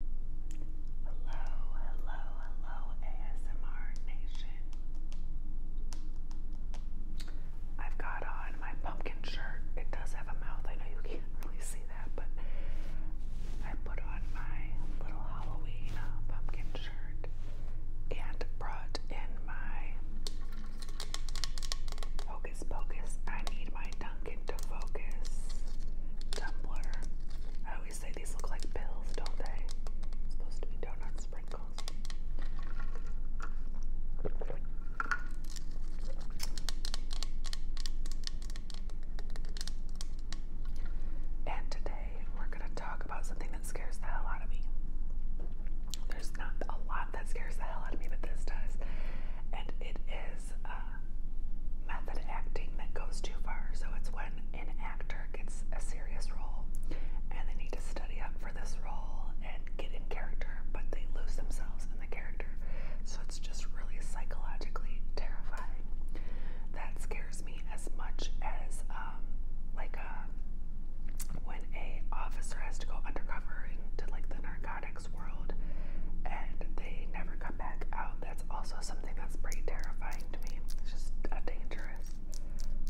Hello, hello, hello, ASMR Nation. i got on my pumpkin shirt. It does have a mouth. I know you can't really see that, but I put on my little Halloween uh, pumpkin shirt and brought in my Hocus Pocus. I need my tongue pumpkin focus tumbler. I always say these look like pills, don't they? supposed to be donut sprinkles. And today we're going to talk about something that scares the hell out of me. There's not a lot that scares the hell out of me, but this does. And it is is uh, method acting that goes too far. So it's when an actor gets a serious role and they need to study up for this role and get in character, but they lose themselves in the character. So it's just really psychologically terrifying. That scares me as much as um, like a, uh, when a officer has to go undercover into like the narcotics world and they never come back out. That's also something that's pretty terrifying to me. It's just a dangerous,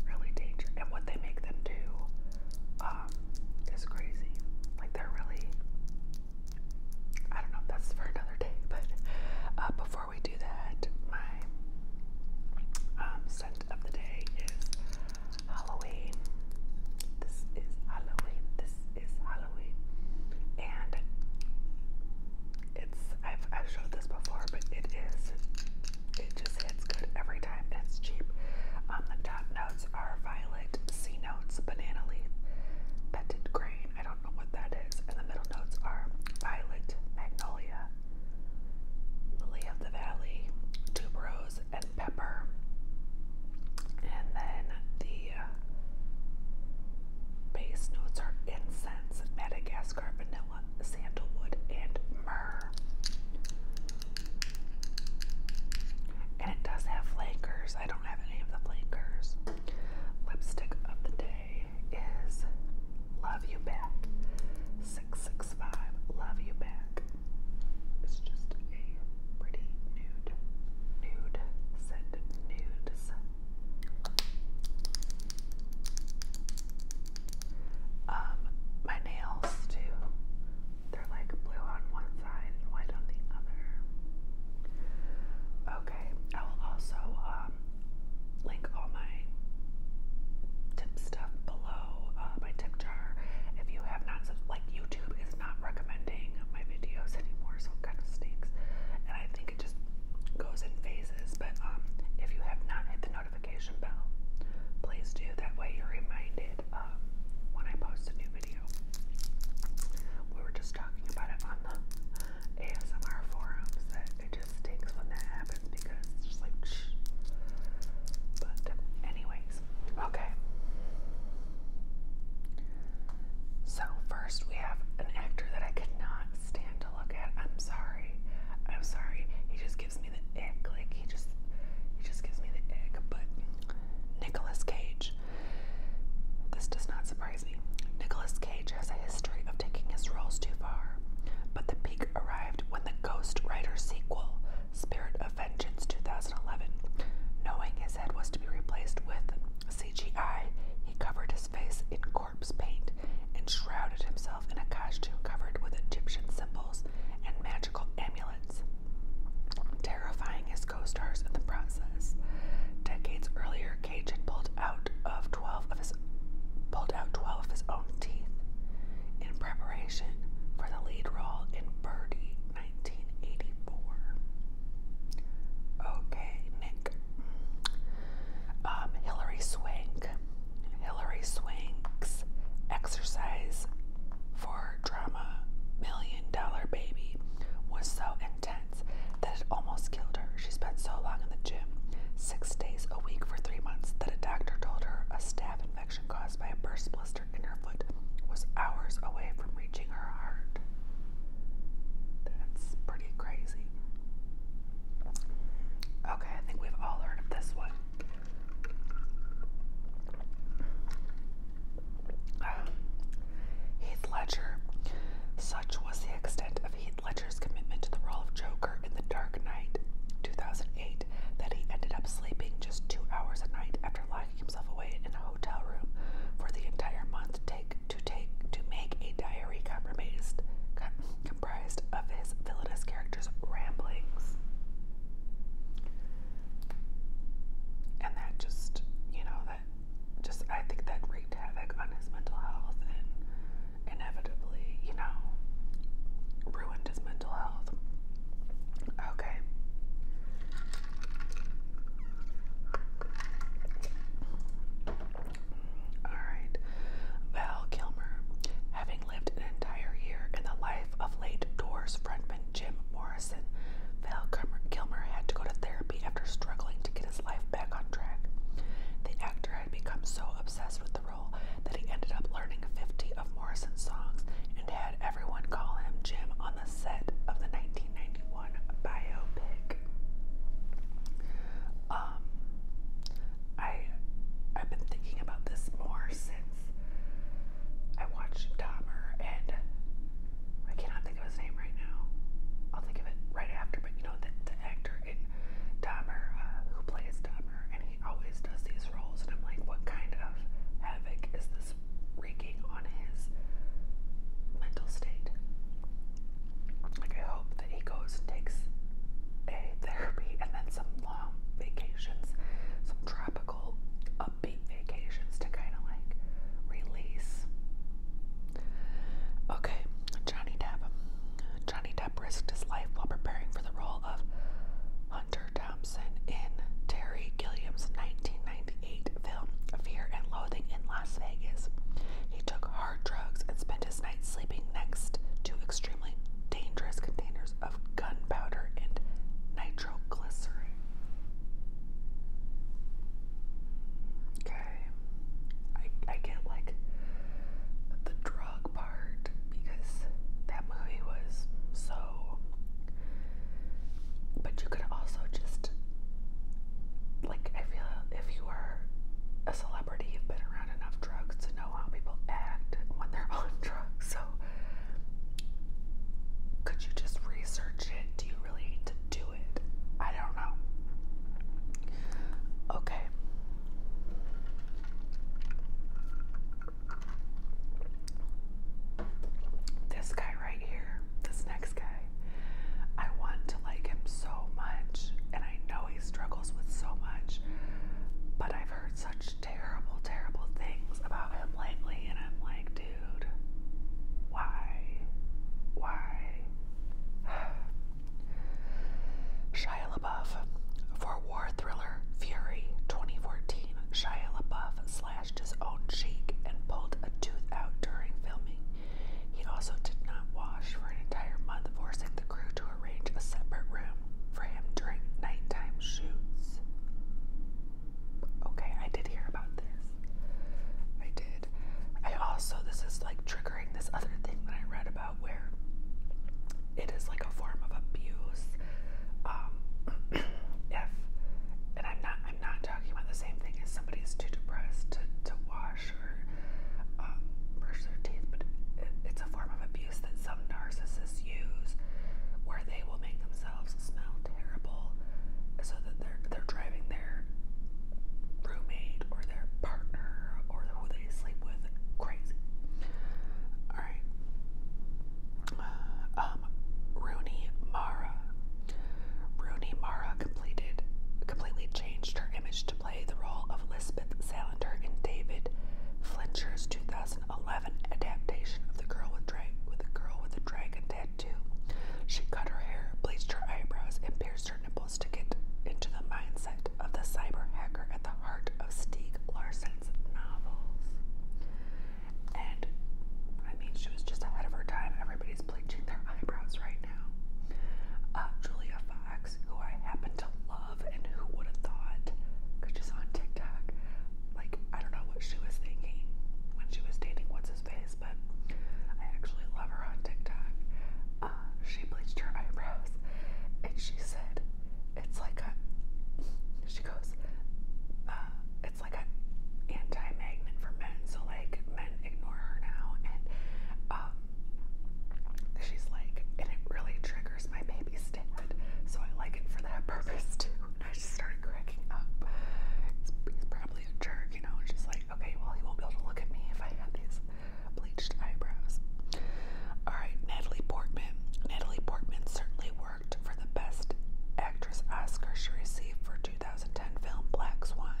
really dangerous. And what they make them do um, is crazy. Like they're really, I don't know, that's for another day. But uh, before we do that, my um, scent of the day is Halloween. This is Halloween. This it's Halloween, and it's I've I've showed this before, but it is it just hits good every time. And it's cheap. Um, the top notes are violet, sea notes, banana leaf, petted grain. I don't know what that is. And the middle notes are violet, magnolia, lily of the valley, tuberose, and pepper. And then the uh, Base notes are incense, Madagascar vanilla, sandalwood, and myrrh. And it does have flankers. I don't have any of the flankers. Lipstick of the day is Love You Back 665. Love You Back. It's just a pretty nude, nude, said nudes. Um, my nails too. They're like blue on one side white on the other. Okay, I will also um link all my tip stuff below uh, my tip jar. If you have not, like YouTube is not recommending my videos anymore, so kind of stinks. And I think it just goes in phases. But um, if you have not hit the notification bell, please do. That way you're reminded um, when I post a new video. We were just talking about it on the ASMR forums that it just stinks when that happens because it's just like, But, anyways, okay. So, first we have an actor that I could not stand to look at. I'm sorry. I'm sorry. He just gives me the ick. Like he just he just gives me the ick. But Nicholas Cage. This does not surprise me. Nicholas Cage has a history of taking his roles too far. But the peak arrived when the Ghost Rider sequel, Spirit of Vengeance 2011, knowing his head was to be replaced with CGI, he covered his face in corpse paint and shrouded himself in a costume covered with Egyptian symbols and magical amulets, terrifying his co stars in the process. Decades earlier, Cage had pulled out of 12 of his pulled out 12 of his own teeth in preparation for the lead role in Birdie 1984. Okay, Nick. Um, Hillary Swank. Hillary Swank's exercise for drama Million Dollar Baby was so intense that it almost killed her. She spent so long in the gym, six days a week for three months, that a doctor told her a staph infection caused by a burst blister in her foot was hours away from reaching her heart. That's pretty crazy. Okay, I think we've all heard of this one. Um, Heath Ledger. Such was the extent of Heath Ledger's commitment to the role of Joker in The Dark Knight 2008 that he ended up sleeping just two hours a night after locking himself away in a hotel room for the entire month take to take to make a diary comprised comprised of his villainous character's ramblings. And that just, you know, that just I think that wreaked havoc on his mental health and inevitably, you know, ruined his mental health. Okay. Alright. Val Kilmer. Having lived an entire year in the life of late Doors frontman Jim Morrison, Val Kilmer had to go to therapy after struggling to get his life back on track. The actor had become so obsessed with the role that he ended up learning 50 of Morrison's songs and had everyone call him Jim on on set of the 1991 biopic. Um, I I've been thinking about this more since I watched Dahmer, and I cannot think of his name right now. I'll think of it right after. But you know the, the actor in Dahmer uh, who plays Dahmer, and he always does these roles, and I'm like, what kind of havoc is this wreaking on his mental state. Like, I hope that he goes and takes a therapy and then some long vacations, some tropical, upbeat vacations to kind of like release. Okay, Johnny Depp. Johnny Depp risked his life while preparing for the role of Hunter Thompson in Terry Gilliam's 1999 1998 film Fear and Loathing in Las Vegas. He took hard drugs and spent his nights sleeping next to extremely dangerous containers of gunpowder and nitroglycerin. Okay, I, I get like the drug part because that movie was so but you could also just, like, I feel if you are a celebrity, you've been around enough drugs to know how people act when they're on drugs. So, could you just research it? Do you really need to do it? I don't know. Okay. This guy right here, this next guy. I want to like him so much, and I know he struggles with so much, but I've heard such terrible, terrible things about him lately, and I'm like, dude, why? Why? Shia LaBeouf for war thriller Fury 2014. Shia LaBeouf slashed his own cheek and pulled a tooth out during filming. He also did not wash for an entire month, forcing the crew to arrange a separate room for him during nighttime shoots. Okay, I did hear about this. I did. I also, this is like triggering this other thing that I read about where it is like a form of abuse. Um, if, and I'm not I'm not talking about the same thing as somebody is too depressed to, to wash or um, brush their teeth, but it, it's a form of abuse that some narcissists use where they will make themselves smell terrible so that they're, they're driving their roommate or their partner or who they sleep with crazy. Alright. Um, Rooney Mara Rooney Mara completed completely changed her image to play the role of Lisbeth Salander in David Flincher's 2011 adaptation of The Girl with, the Dragon Tattoo. She cut her hair, bleached her eyebrows, and pierced her nipples to get into the mindset of the cyber hacker at the heart of Stieg Larsson's novels. And I mean, she was just ahead of her time. Everybody's is bleaching eyebrows right now. Uh, Julia Fox, who I happen to love, and who would have thought, she's on TikTok, like, I don't know what she was thinking when she was dating What's His Face, but I actually love her on TikTok. Uh, she bleached her eyebrows, and she said, it's like a, she goes, uh, it's like an anti-magnet for men. So like men ignore her now, and um, she's like, and it really triggers my baby's dad. So I like it for that purpose too. And I just started cracking up. He's, he's probably a jerk, you know. And she's like, okay, well he won't be able to look at me if I have these bleached eyebrows. All right, Natalie Portman. Natalie Portman certainly worked for the best actress Oscar she received for 2000. 2010 film Black Swan.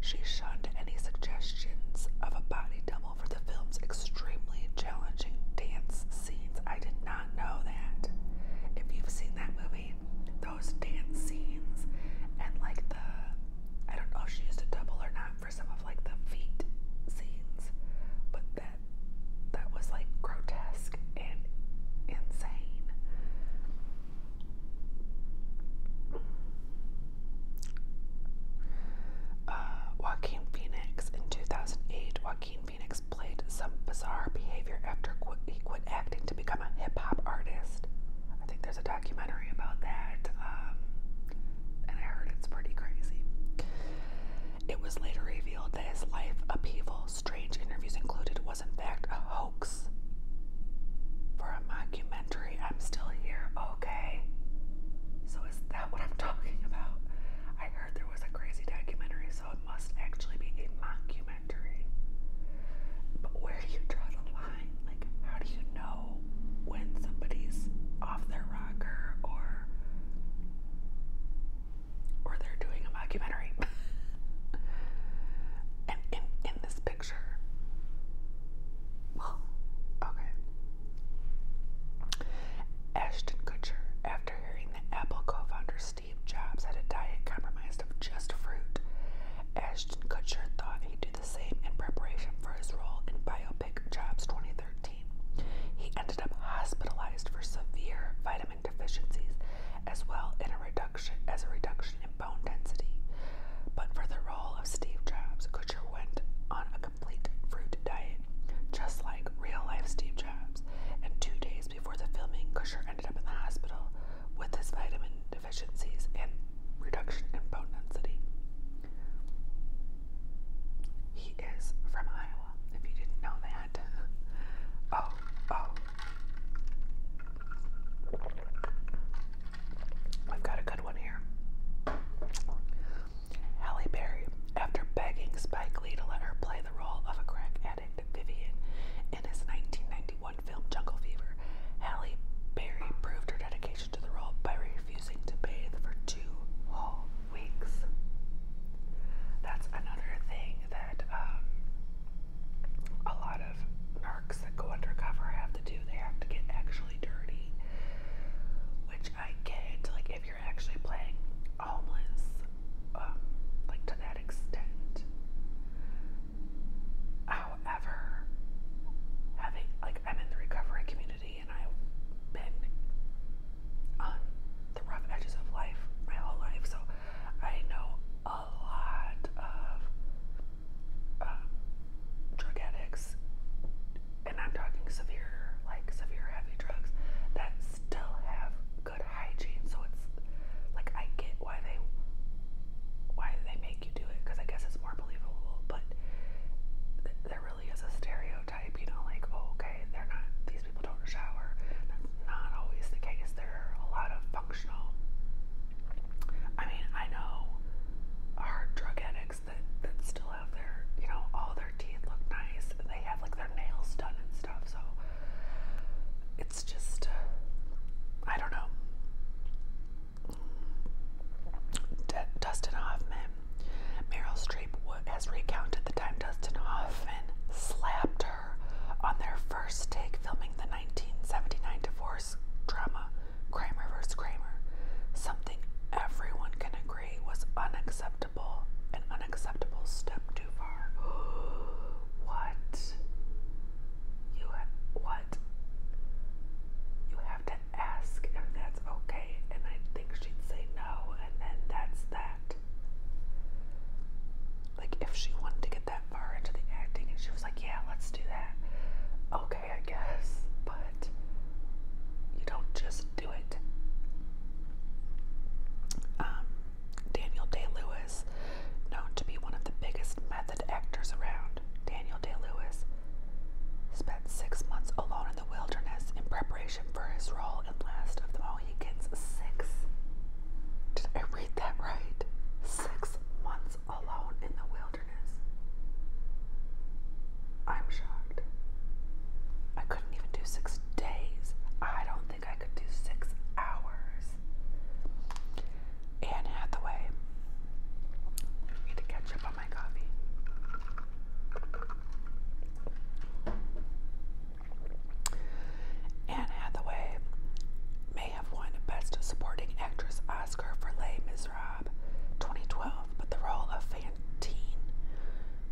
She shunned any suggestions of a body double for the film's extremely challenging dance scenes. I did not know that. If you've seen that movie, those dance scenes and like the I don't know if she used a double or not for some of like the feet scenes, but that that was like grotesque and insane. Uh, Joaquin Phoenix. In 2008, Joaquin Phoenix played some bizarre behavior after he quit acting to become a hip hop artist. I think there's a documentary about that, um, and I heard it's pretty crazy. It was later revealed that his life upheaval strange interviews included, was in fact a hoax for a mockumentary. I'm still here, okay? So, is that what I'm talking about? I heard there was a crazy documentary, so it must actually be a mockumentary. But where do you draw the line? Like, how do you know when somebody's off their rocker or or they're doing Documentary. in, this picture, well, okay. Ashton Kutcher, after hearing that Apple co founder Steve Jobs had a diet compromised of just fruit, Ashton Kutcher thought he'd do the same in preparation for his role in biopic Jobs 2013. He ended up hospitalized for severe vitamin deficiencies as well in a reduction as a reduction in bone density. But for the role of Steve Jobs, Kutcher went on a complete fruit diet, just like real-life Steve Jobs. And two days before the filming, Kutcher ended up in the hospital with his vitamin deficiencies and reduction in bone density. He is from Iowa, if you didn't know that. oh, oh. We've got a good one here. Halle Berry, after begging Spike Lee to let her play the role of a crack addict, Vivian, in his 1991 film Jungle Fever, Halle Berry proved her dedication to the role by refusing to bathe for two whole weeks. That's another thing that um, a lot of that go undercover have to do. They have to get actually dirty, which I get. Like, if you're actually playing homeless, um, like to that extent. However, having like I'm in the recovery community and I've been on the rough edges of life my whole life, so I know a lot of um, drug addicts, and I'm talking severe, like severe heavy drugs, that still have good hygiene. So it's like I get why they why they make you do it because I guess it's more believable. But there really is a stereotype, you know, like oh, okay, they're not. These people don't shower not always the case. There are a lot of functional. I mean, I know hard drug addicts that that still have their, you know, all their teeth look nice. they have like their nails done and stuff. So it's just, uh, I don't know. Dustin Hoffman, Meryl Streep has recounted the time Dustin Hoffman slapped her on their first take filming the 1979 divorce drama Kramer vs. Kramer, something everyone can agree was unacceptable, an unacceptable step too far. what? You have, what? You have to ask if that's okay, and I think she'd say no, and then that's that like if she wanted to get that far into the acting and she was like, yeah, let's do that. Okay, I guess, but you don't just do it. Um, Daniel Day Lewis, known to be one of the biggest method actors around, Daniel Day Lewis spent six months alone in the wilderness in preparation for his role in Last of the Mohicans. Six did I read that right? Six months alone in the wilderness. I'm shocked. I couldn't even do six days. I don't think I could do six hours. Anne Hathaway. I need to catch up on my coffee. Anne Hathaway may have won Best Supporting Actress Oscar for Les Miserables 2012, but the role of Fantine,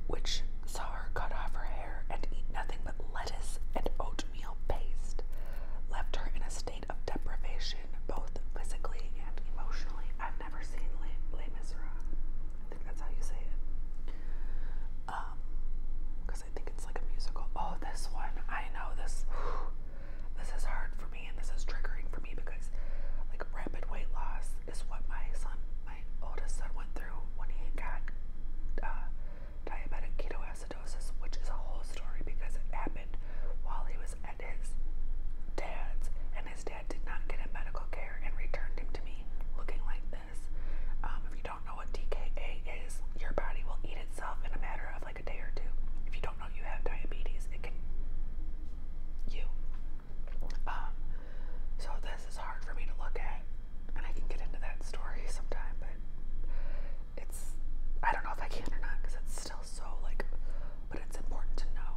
which saw her cut off her hair and eat nothing but lettuce and oatmeal paste, left her in a state of deprivation both physically and emotionally. I've never seen Les, Les Miserables. I think that's how you say it. Um, I think it's like a musical. Oh, this one. I know this. This is hard for me and this is triggering for me because like rapid weight loss is what my son, my oldest son went through when he got uh, diabetic ketoacidosis, which is a whole story because it happened while he was at his dad's and his dad did not get him medical care and returned him to me looking like this. Um, don't know what DKA is, your body will eat itself in a matter of like a day or two. If you don't know you have diabetes, it can you. Um, so this is hard for me to look at, and I can get into that story sometime, but it's I don't know if I can or not because it's still so like, but it's important to know.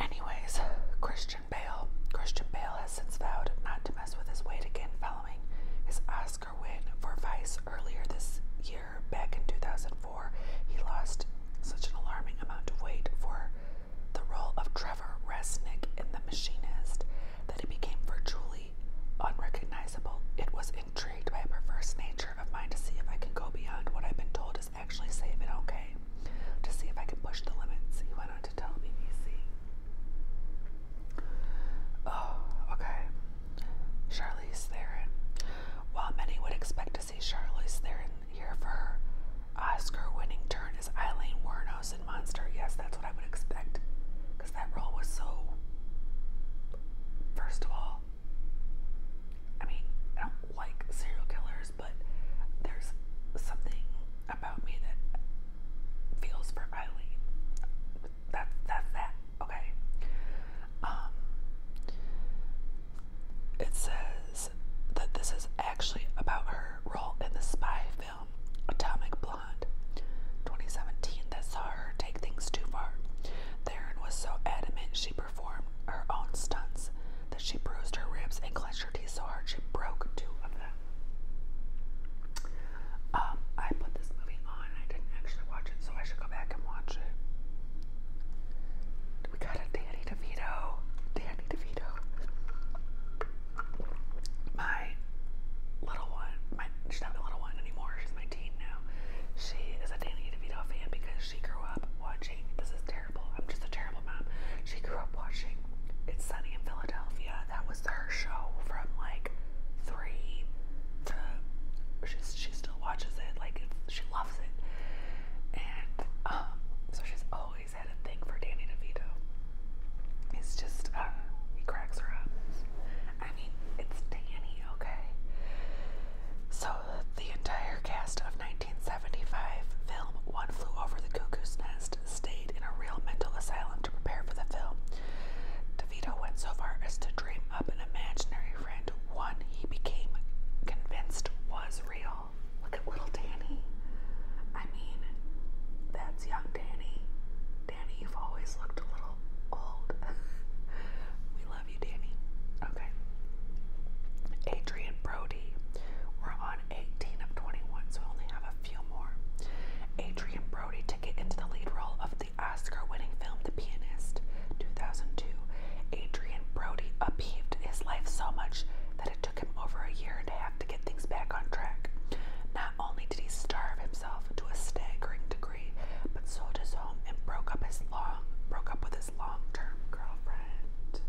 Anyways, Christian Bale. Christian Bale has since vowed not to mess with his weight again following his Oscar Oscar win for Vice earlier this year, back in 2004. He lost such an alarming amount of weight for the role of Trevor Resnick in The Machinist that he became virtually unrecognizable. It was intrigued by a perverse nature of mine to see if I can go beyond what I've been told is actually safe and okay, to see if I can push the limits, he went on to tell BBC. Oh, okay. Charlize Theron. While many would expect to see Charlize Theron here for her Oscar-winning turn as Eileen Wuornos in Monster, yes, that's what I would expect, because that role was so. First of all, I mean, I don't like serial killers, but there's something about me that feels for Eileen that's that's that. Okay. Um it says that this is actually about her role in the spy film Atomic Blonde 2017 that saw her take things too far. Theron was so adamant she performed her own stunts that she bruised her ribs and clenched her teeth so hard she broke two of them. Um, I put this movie on. I didn't actually watch it, so I should go back and watch it. We got a Danny DeVito. Danny DeVito. My little one. My she's not my little one anymore. She's my teen now. She is a Danny DeVito fan because she grew up watching. This is terrible. I'm just a terrible mom. She grew up watching. It's Sunny in Philadelphia that was her show from like three to she still watches it like she loves it and um, so she's always had a thing for Danny DeVito it's just uh he cracks her up I mean it's Danny okay so the entire cast of 1975 film One Flew Over the Cuckoo's Nest stayed in a real mental asylum to prepare for the film. DeVito went so far as to dream up an imaginary friend, one he became convinced was real. Look at little Danny. I mean, that's young Danny. Danny, you've always looked a little old. we love you, Danny. Okay. Adrian Brody. We're on 18 of 21, so we only have a Adrian Brody took it into the lead role of the Oscar winning film The Pianist, 2002. Adrian Brody upheaved his life so much that it took him over a year and a half to get things back on track. Not only did he starve himself to a staggering degree, but sold his home and broke up his long broke up with his long-term girlfriend.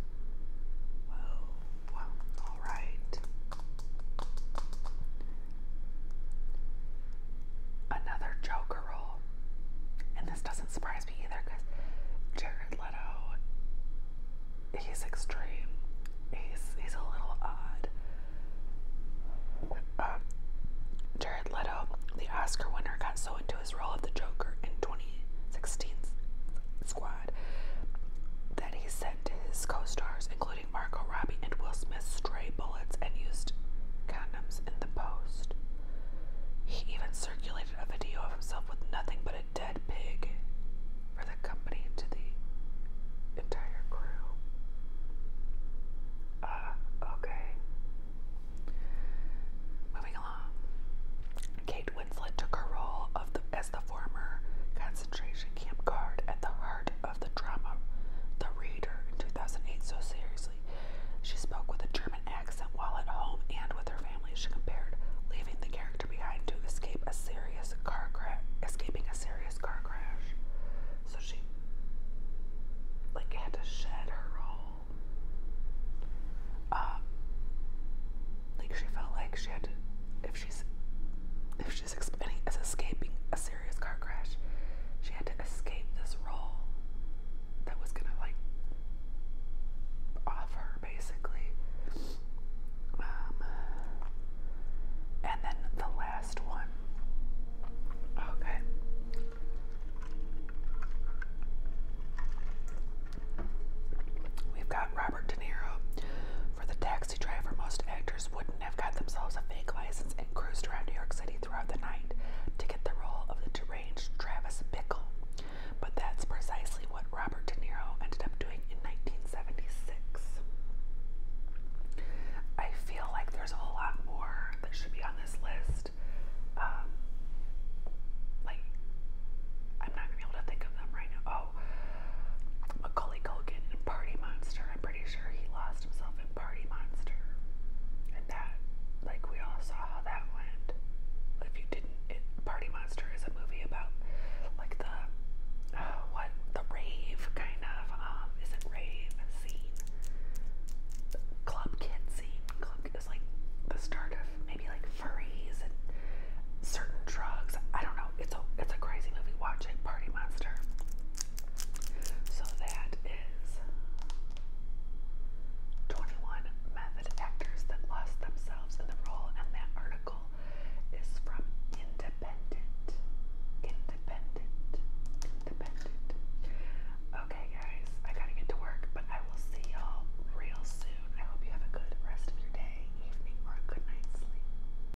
Whoa, well, all right. Another Joker role. And this doesn't surprise me either because Jared Leto, he's extreme. He's, he's a little odd. Um, Jared Leto, the Oscar winner, got so into his role of the Joker in 2016's Squad that he sent his co stars, including including Margot and Will Smith's stray bullets, and used condoms in the post. He even circulated a video of himself with nothing but a dead pig for the company to the entire crew. Uh, okay. Moving along. Kate Winslet took her role of the, as the former camp guard at the heart of the drama The Reader in 2008 so seriously. She spoke with a German accent while at home and with her family. She compared leaving the character behind to escape a serious car crash, escaping a serious car crash. So she like had to shed her role. Um, like she felt like she had to, if she's, if she she escaping a serious car crash. She had to escape this role that was gonna like off her basically. Um, and then the last one. Okay. We've got Robert De Niro, for the taxi driver, most actors wouldn't have got themselves a fake license and cruised around New York City throughout the night to get the role of the deranged Travis Bickle. But that's precisely what Robert De Niro ended up doing in 1976. I feel like there's a whole lot more that should be on this list. Um, like, I'm not gonna be able to think of them right now about Macaulay Culkin Party Monster. I'm pretty sure he lost himself in Party Monster. And that, like, we all saw how that went. If you didn't, Party Monster is a movie about, like, the, uh, what, the rave, kind of, um, isn't rave scene. club kid scene. Club is, like, the start of maybe, like, furries and certain drugs. I don't know. It's a it's a crazy movie. watching Party Monster. So that is 21 method actors that lost themselves in the role, and that article is from Independent. Independent. Independent. Okay, guys, I gotta get to work, but I will see y'all real soon. I hope you have a good rest of your day, evening, or a good night's sleep.